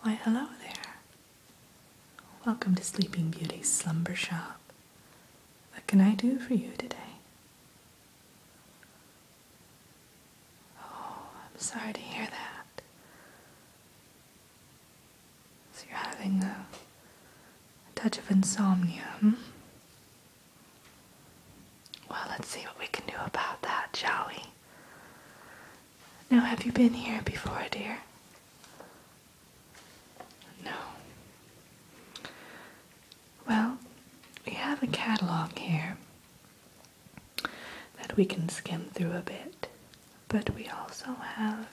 Why, hello there. Welcome to Sleeping Beauty's slumber shop. What can I do for you today? Oh, I'm sorry to hear that. So you're having a, touch of insomnia, hmm? Well, let's see what we can do about that, shall we? Now, have you been here before, dear? No. Well, we have a catalog here that we can skim through a bit, but we also have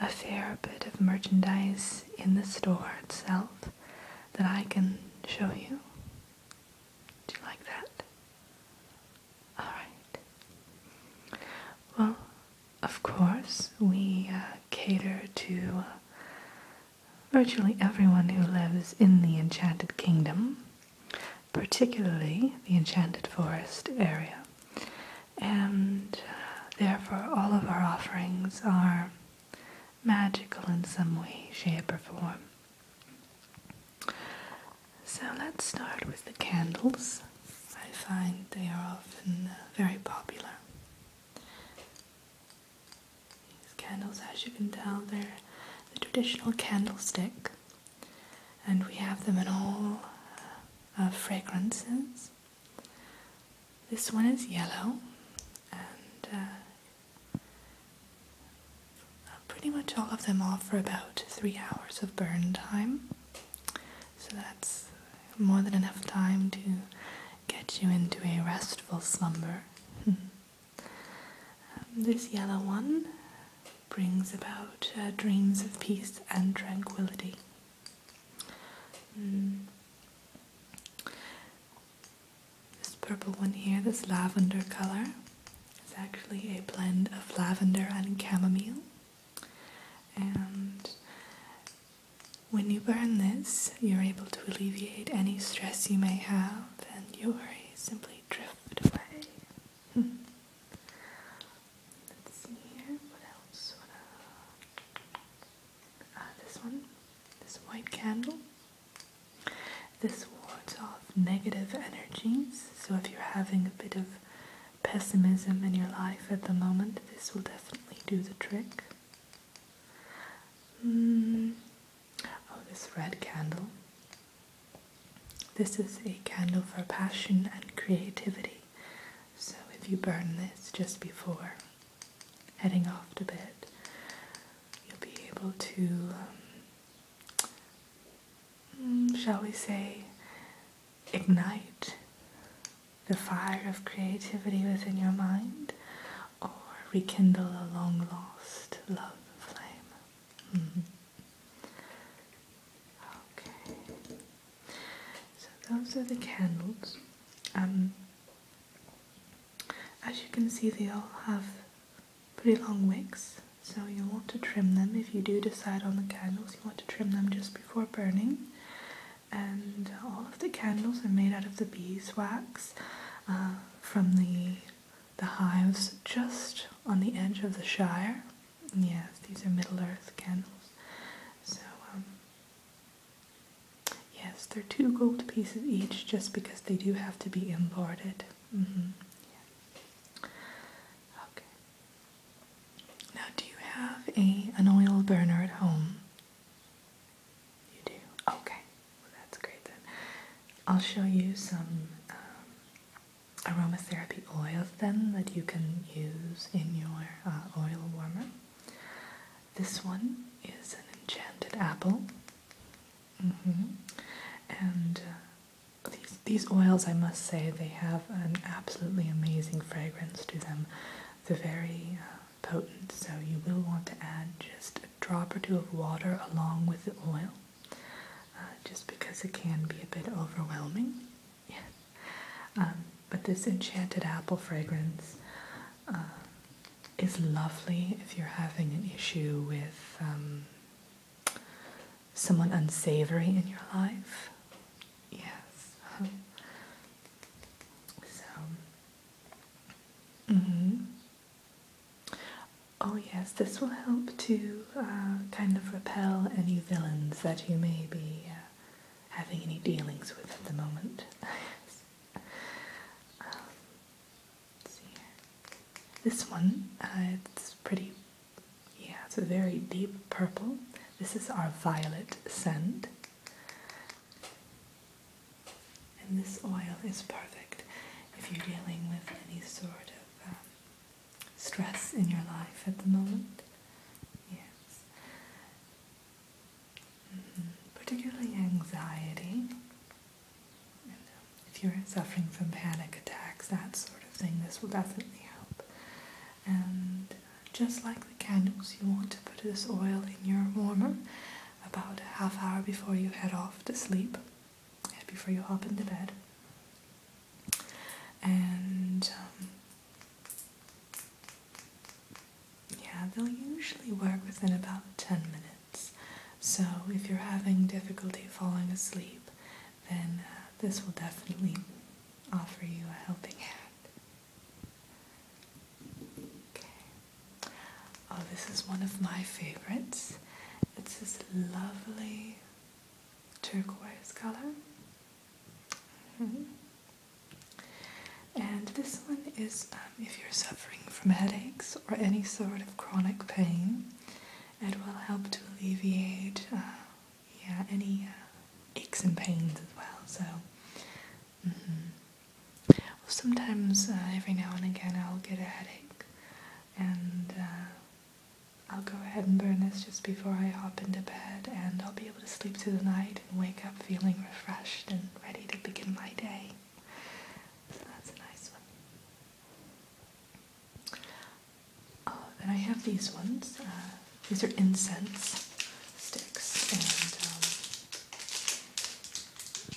a fair bit of merchandise in the store itself that I can show you. Do you like that? Alright. Well, of course, we uh, cater to uh, virtually everyone who lives in the Enchanted Kingdom, particularly the Enchanted Forest area. And uh, therefore, all of our offerings are magical in some way, shape, or form. So let's start with the candles. I find they are often uh, very popular. These candles, as you can tell, they're the traditional candlestick, and we have them in all uh, fragrances. This one is yellow and uh, pretty much all of them are for about three hours of burn time. So that's more than enough time to get you into a restful slumber. Um, this yellow one brings about uh, dreams of peace and tranquility. Hmm. This purple one here, this lavender color, is actually a blend of lavender and chamomile. And when you burn this, you're able to alleviate any stress you may have, and your worries simply drift away. Let's see here, What else? Uh, this one, this white candle. This wards off negative energies, so if you're having a bit of pessimism in your life at the moment, this will definitely do the trick. Hmm. Oh, this red candle. This is a candle for passion and creativity. So if you burn this just before heading off to bed, you'll be able to, um, mm, shall we say, ignite the fire of creativity within your mind or rekindle a long lost love flame. Mm-hmm. Okay, so those are the candles. Um, as you can see, they all have pretty long wicks, so you'll want to trim them if you do decide on the candles. You want to trim them just before burning. And all of the candles are made out of the beeswax uh, from the the hives just on the edge of the Shire. Yes, these are Middle Earth candles. So um, Yes, they're two gold pieces each just because they do have to be imported. Mm-hmm. Okay. Now, do you have a an oil burner at home? You do. Okay. that's great then. I'll show you some um, aromatherapy oils then that you can use in your uh, oil warmer. This one is an enchanted apple. Mm-hmm. And uh, these, these oils, I must say, they have an absolutely amazing fragrance to them. They're very uh, potent, so you will want to add just a drop or two of water along with the oil, uh, just because it can be a bit overwhelming. Um, but this enchanted apple fragrance uh, is lovely if you're having an issue with um, someone unsavory in your life. Yes. so. Mm -hmm. Oh, yes, this will help to uh, kind of repel any villains that you may be uh, having any dealings with at the moment. Um, this one, uh, it's pretty, yeah, it's a very deep purple. This is our violet scent. And this oil is perfect if you're dealing with any sort of um, stress in your life at the moment. Yes. Particularly anxiety. Um, if you're suffering from panic attacks, that sort of thing, this will definitely help. And just like the candles, you want to put this oil in your warmer about a half hour before you head off to sleep, before you hop into bed. And um, yeah, they'll usually work within about 10 minutes. So if you're having difficulty falling asleep, then uh, this will definitely offer you a helping hand. Oh, this is one of my favorites. It's this lovely turquoise color. Mm-hmm. And this one is um, if you're suffering from headaches or any sort of chronic pain, it will help to alleviate uh, yeah, any uh, aches and pains as well. So, mm-hmm. sometimes uh, every now and again I'll get a headache and I'll go ahead and burn this just before I hop into bed and I'll be to sleep through the night and wake up feeling refreshed and ready to begin my day. So that's a nice one. then oh, I have these ones. Uh, these are incense sticks,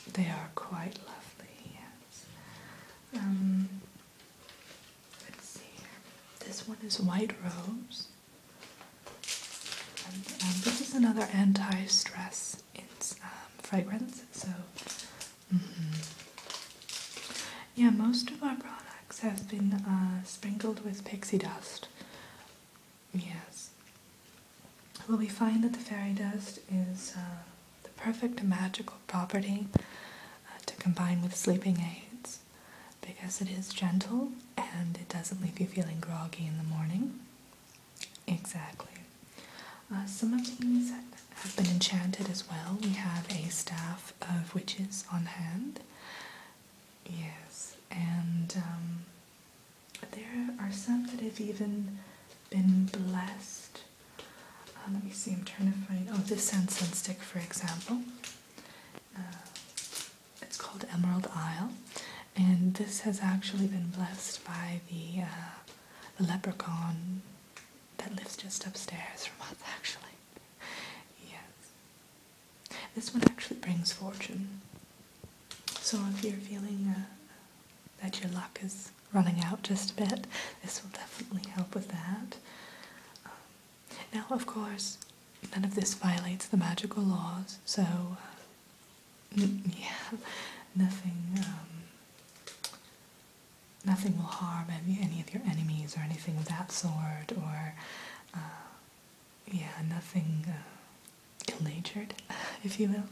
and um, they are quite lovely. Yes. Um, let's see This one is white rose. Um, this is another anti-stress um, fragrance. So, mm-hmm. yeah, most of our products have been uh, sprinkled with pixie dust. Yes. Well, we find that the fairy dust is uh, the perfect magical property uh, to combine with sleeping aids because it is gentle and it doesn't leave you feeling groggy in the morning. Exactly. Uh, some of these have been enchanted as well. We have a staff of witches on hand. Yes, and um, there are some that have even been blessed. Uh, let me see, I'm trying to find. Oh, this sand stick, for example, uh, it's called Emerald Isle, and this has actually been blessed by the, uh, leprechaun that lives just upstairs from us, actually. Yes. This one actually brings fortune. So if you're feeling uh, that your luck is running out just a bit, this will definitely help with that. Um, now, of course, none of this violates the magical laws, so uh, yeah, nothing, um, nothing will harm any, any of your enemies or anything of that sort, or uh, yeah, nothing uh, ill-natured, if you will.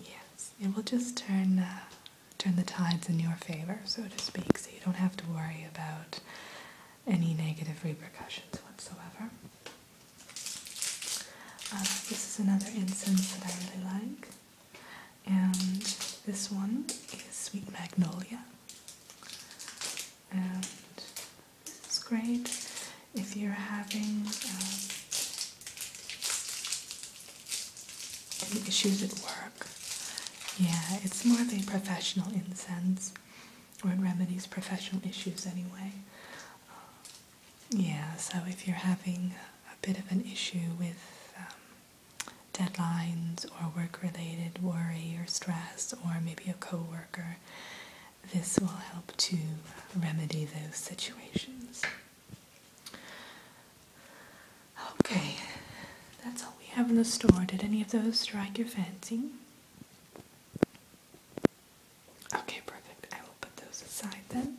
Yes, it will just turn turn the tides in your favor, so to speak, so you don't have to worry about any negative repercussions whatsoever. Uh, this is another incense that I really like, and this one is Sweet Magnolia. And this is great if you're having um, issues at work. Yeah, it's more of a professional incense or it remedies professional issues anyway. Uh, yeah, so if you're having a bit of an issue with um, deadlines or work-related worry or stress or maybe a coworker, this will help to remedy those situations. Okay, that's all we have in the store. Did any of those strike your fancy? Okay, perfect. I will put those aside then.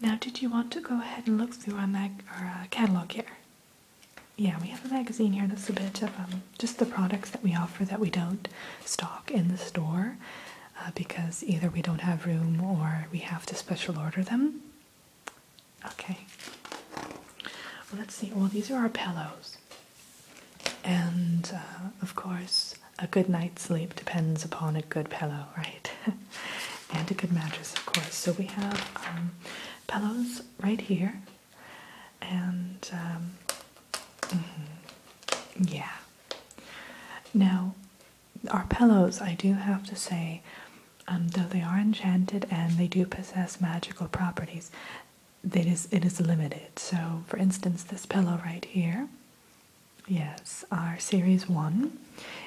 Now, did you want to go ahead and look through our, mag- our uh, catalog here? Yeah, we have a magazine here that's a bit of um, just the products that we offer that we don't stock in the store uh, because either we don't have room or we have to special order them. Okay. Well, let's see. Well, these are our pillows. And uh, of course, a good night's sleep depends upon a good pillow, right? and a good mattress, of course. So we have um, pillows right here. And um, mm-hmm. yeah. Now, our pillows, I do have to say, um, though they are enchanted and they do possess magical properties, it is, it is limited. So, for instance, this pillow right here, yes, our series one,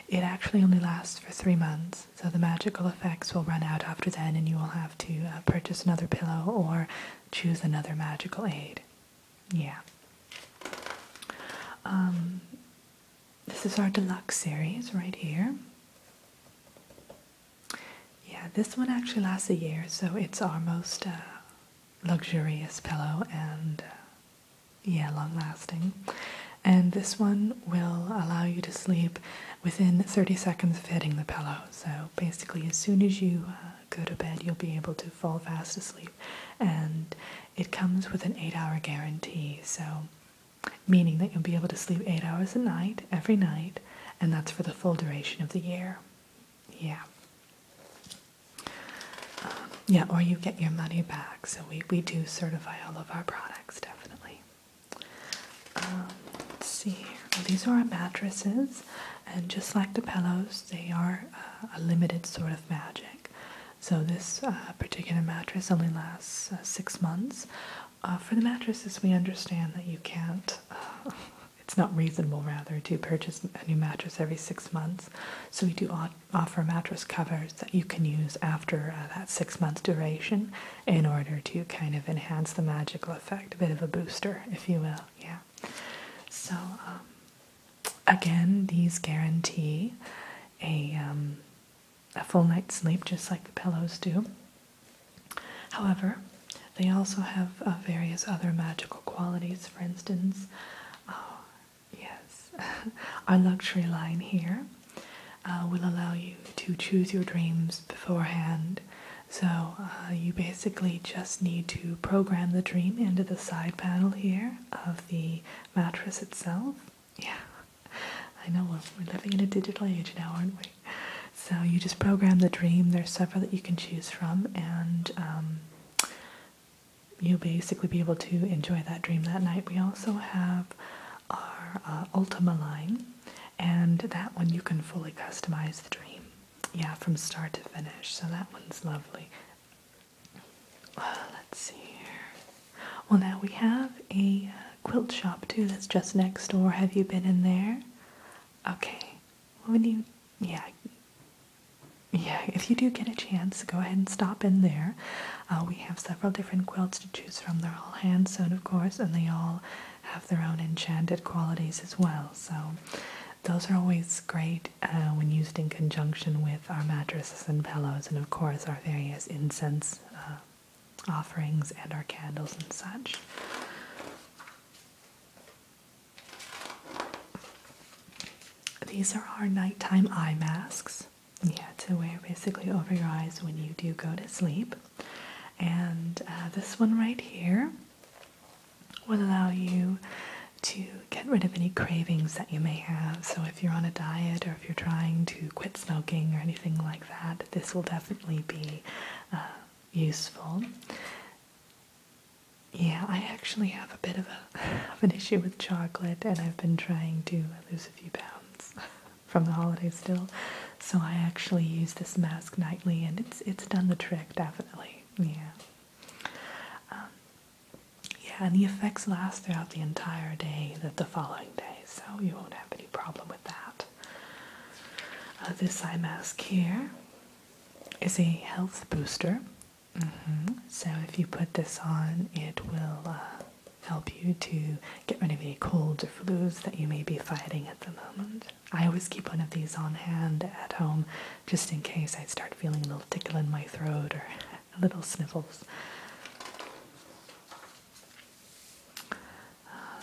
it actually only lasts for three months. So, the magical effects will run out after then, and you will have to uh, purchase another pillow or choose another magical aid. Yeah. Um, this is our deluxe series right here. Yeah, this one actually lasts a year, so it's our most uh, luxurious pillow and uh, yeah, long lasting. And this one will allow you to sleep within 30 seconds of hitting the pillow. So basically, as soon as you uh, go to bed, you'll be able to fall fast asleep. And it comes with an eight hour guarantee. So meaning that you'll be able to sleep eight hours a night every night, and that's for the full duration of the year. Yeah. Um, yeah, or you get your money back. So we, we do certify all of our products, definitely. Um, let's see these are our mattresses, and just like the pillows, they are uh, a limited sort of magic. So this uh, particular mattress only lasts uh, six months, uh, for the mattresses, we understand that you can't, uh, it's not reasonable rather, to purchase a new mattress every six months. So we do offer mattress covers that you can use after uh, that six months duration in order to kind of enhance the magical effect, a bit of a booster, if you will. Yeah. So, um, again, these guarantee a um, a full night's sleep, just like the pillows do. However, they also have uh, various other magical qualities. For instance, oh, yes, our luxury line here uh, will allow you to choose your dreams beforehand. So you basically just need to program the dream into the side panel here of the mattress itself. Yeah, I know. we're living in a digital age now, aren't we? So you just program the dream. There's several that you can choose from, and um, you'll basically be able to enjoy that dream that night. We also have our uh, Ultima line, and that one you can fully customize the dream. Yeah, from start to finish. So that one's lovely. Uh, let's see here. Well, now we have a uh, quilt shop too that's just next door. Have you been in there? Okay. When you, yeah, yeah, if you do get a chance, go ahead and stop in there. Uh, we have several different quilts to choose from. They're all hand sewn, of course, and they all have their own enchanted qualities as well. So those are always great uh, when used in conjunction with our mattresses and pillows, and of course our various incense offerings and our candles and such. These are our nighttime eye masks. Yeah, to wear basically over your eyes when you do go to sleep. And uh, this one right here will allow you to get rid of any cravings that you may have. So if you're on a diet or if you're trying to quit smoking or anything like that, this will definitely be uh, useful. Yeah, I actually have a bit of, an issue with chocolate, and I've been trying to lose a few pounds from the holidays still. So I actually use this mask nightly, and it's it's done the trick definitely. Yeah. Um, yeah, and the effects last throughout the entire day, the, the following day so you won't have any problem with that. Uh, this eye mask here is a health booster. Mm-hmm. So if you put this on, it will uh, help you to get rid of any colds or flus that you may be fighting at the moment. I always keep one of these on hand at home just in case I start feeling a little tickle in my throat or a little sniffles. Uh,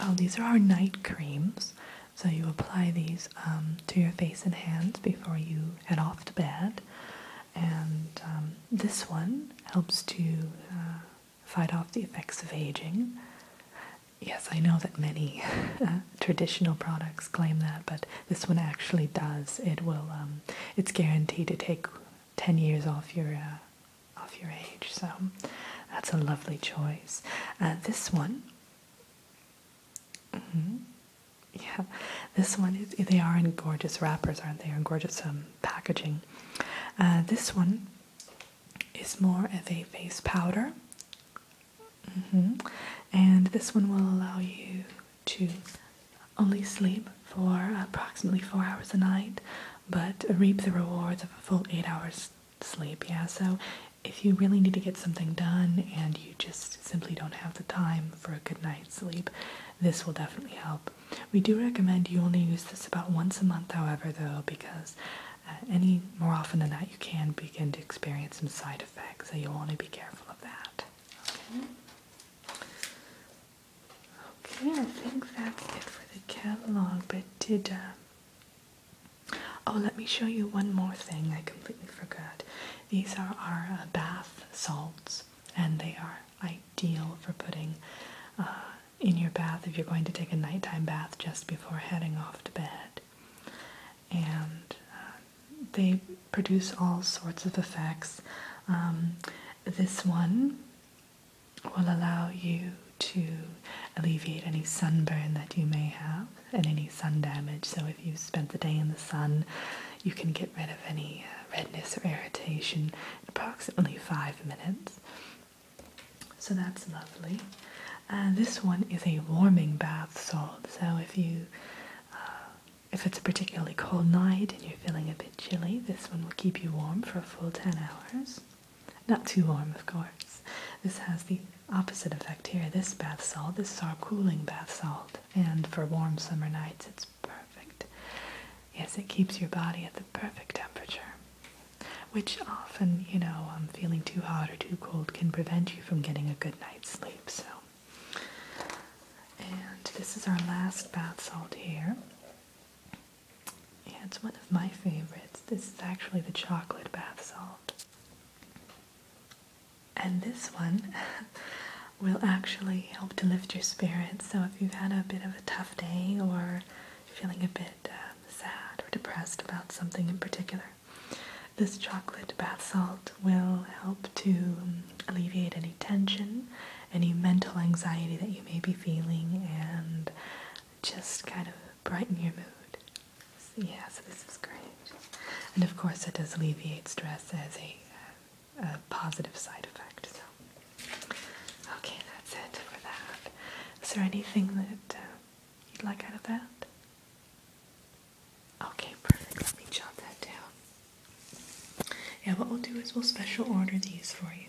oh, these are our night creams. So you apply these um, to your face and hands before you head off to bed. And um, this one helps to uh, fight off the effects of aging. Yes, I know that many uh, traditional products claim that, but this one actually does. It will. Um, it's guaranteed to take ten years off your uh, off your age. So that's a lovely choice. Uh, this one. Mm-hmm, yeah, this one They are in gorgeous wrappers, aren't they? in gorgeous um, packaging. Uh, this one is more of a face powder, mm-hmm. and this one will allow you to only sleep for approximately four hours a night, but reap the rewards of a full eight hours sleep. Yeah, so if you really need to get something done and you just simply don't have the time for a good night's sleep, this will definitely help. We do recommend you only use this about once a month, however, though, because uh, any more often than that, you can begin to experience some side effects, so you'll want to be careful of that. Okay. Okay, I think that's it for the catalog, but did uh, oh, let me show you one more thing I completely forgot. These are our uh, bath salts, and they are ideal for putting uh, in your bath if you're going to take a nighttime bath just before heading off to bed. And uh, they produce all sorts of effects. Um, this one will allow you to alleviate any sunburn that you may have and any sun damage. So if you spent the day in the sun, you can get rid of any uh, redness or irritation in approximately five minutes. So that's lovely. this one is a warming bath salt. So if you uh, if it's a particularly cold night and you're feeling a bit chilly, this one will keep you warm for a full 10 hours. Not too warm, of course. This has the opposite effect here. This bath salt, this is our cooling bath salt. And for warm summer nights, it's perfect. Yes, it keeps your body at the perfect temperature, which often, you know, um, feeling too hot or too cold can prevent you from getting a good night's sleep. So and this is our last bath salt here. Yeah, it's one of my favorites. This is actually the chocolate bath salt. And this one will actually help to lift your spirits. So if you've had a bit of a tough day or feeling a bit uh, sad or depressed about something in particular, this chocolate bath salt will help to um, alleviate any tension, any mental anxiety that you may be feeling, and just kind of brighten your mood. yeah, so this is great. And of course, it does alleviate stress as a, positive side effect. So, okay, that's it for that. Is there anything that uh, you'd like out of that? Okay, perfect. Let me jot that down. Yeah, what we'll do is we'll special order these for you.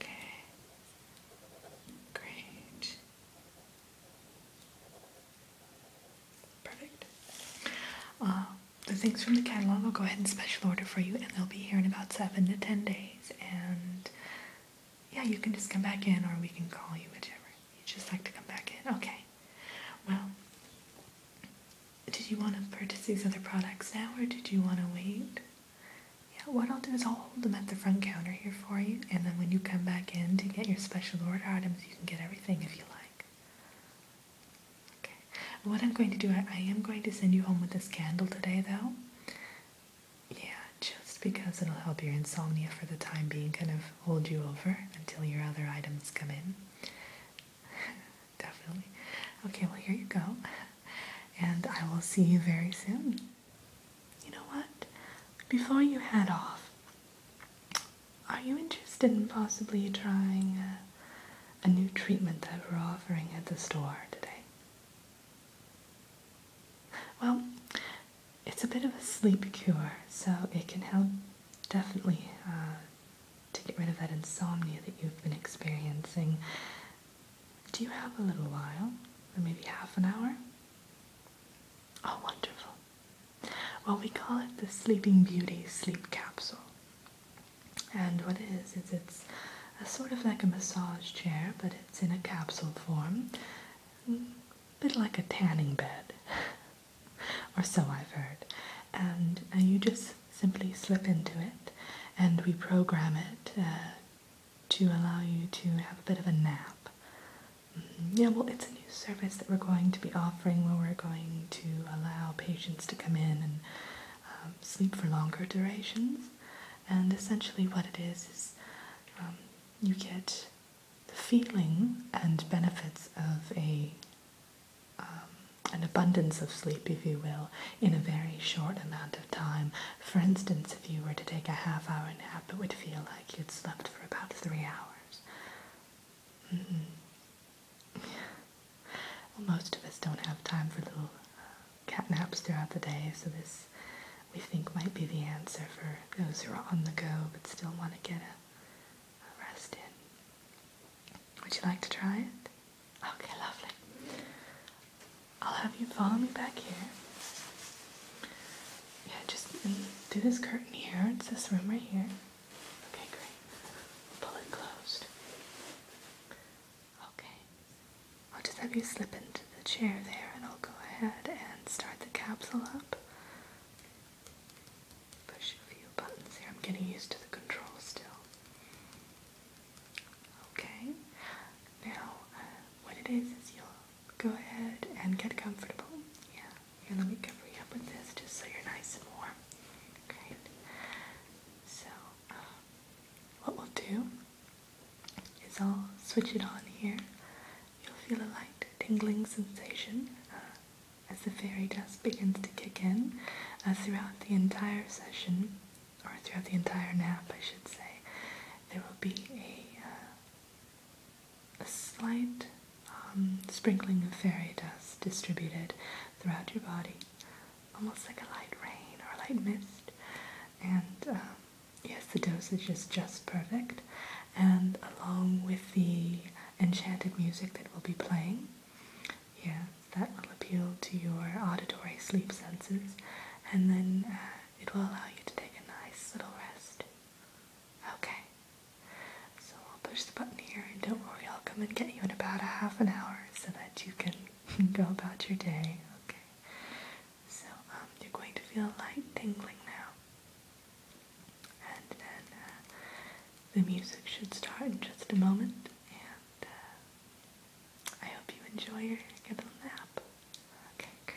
Okay. Great. Perfect. Uh, the things from the catalog I'll go ahead and special order for you, and they'll be here in about seven to ten days and yeah, you can just come back in or we can call you, whichever. You would just like to come back in. Okay. Well, did you want to purchase these other products now or did you want to wait? Yeah, what I'll do is I'll hold them at the front counter here for you and then when you come back in to get your special order items, you can get everything if you like. Okay. What I'm going to do, I am going to send you home with this candle today though. Yeah, just because it'll help your insomnia for the time being, kind of hold you over until your other items come in. Definitely. Okay, well, here you go. And I will see you very soon. You know what? Before you head off, are you interested in possibly trying a, a new treatment that we're offering at the store today? Well, it's a bit of a sleep cure, so it can help definitely uh, to get rid of that insomnia that you've been experiencing. Do you have a little while, or maybe half an hour? Oh, wonderful. Well, we call it the Sleeping Beauty Sleep Capsule. And what it is, is it's a sort of like a massage chair, but it's in a capsule form. A bit like a tanning bed, or so I've heard. And you just simply slip into it, and we program it uh, to allow you to have a bit of a nap. Mm-hmm. Yeah, well, it's a new service that we're going to be offering where we're going to allow patients to come in and um, sleep for longer durations. And essentially, what it is is um, you get the feeling and benefits of a um, an abundance of sleep, if you will, in a very short amount of time. For instance, if you were to take a half hour nap, it would feel like you'd slept for about three hours. Mm-hmm. Most of us don't have time for little uh, cat naps throughout the day, so this we think might be the answer for those who are on the go but still want to get a, rest in. Would you like to try it? Okay, lovely. I'll have you follow me back here. Yeah, just do this curtain here. It's this room right here. Okay, great. Pull it closed. Okay. I'll just have you slip into the chair there and I'll go ahead and start the capsule up. Push a few buttons here. I'm getting used to the control still. Okay. Now, uh, what it is is you'll go ahead and get comfortable. Yeah. Here, let me cover you up with this just so you're nice and warm. Great. So, what we'll do is I'll switch it on here. You'll feel a light tingling sensation uh, as the fairy dust begins to kick in uh, throughout the entire session, or throughout the entire nap, I should say. There will be a, uh, a slight um, sprinkling of fairy dust distributed throughout your body almost like a light rain or a light mist. And um, yes, the dosage is just perfect. And along with the enchanted music that will be playing, yes, that will appeal to your auditory sleep senses, and then uh, it will allow you to take a nice little rest. Okay. So I'll push the button here, and don't worry, I'll come and get you in about a half an hour so that you can go about your day. Okay. So um, you're going to feel a light tingling now, and then uh, the music should start in just a moment. And uh, I hope you enjoy your, your little nap. Okay, great.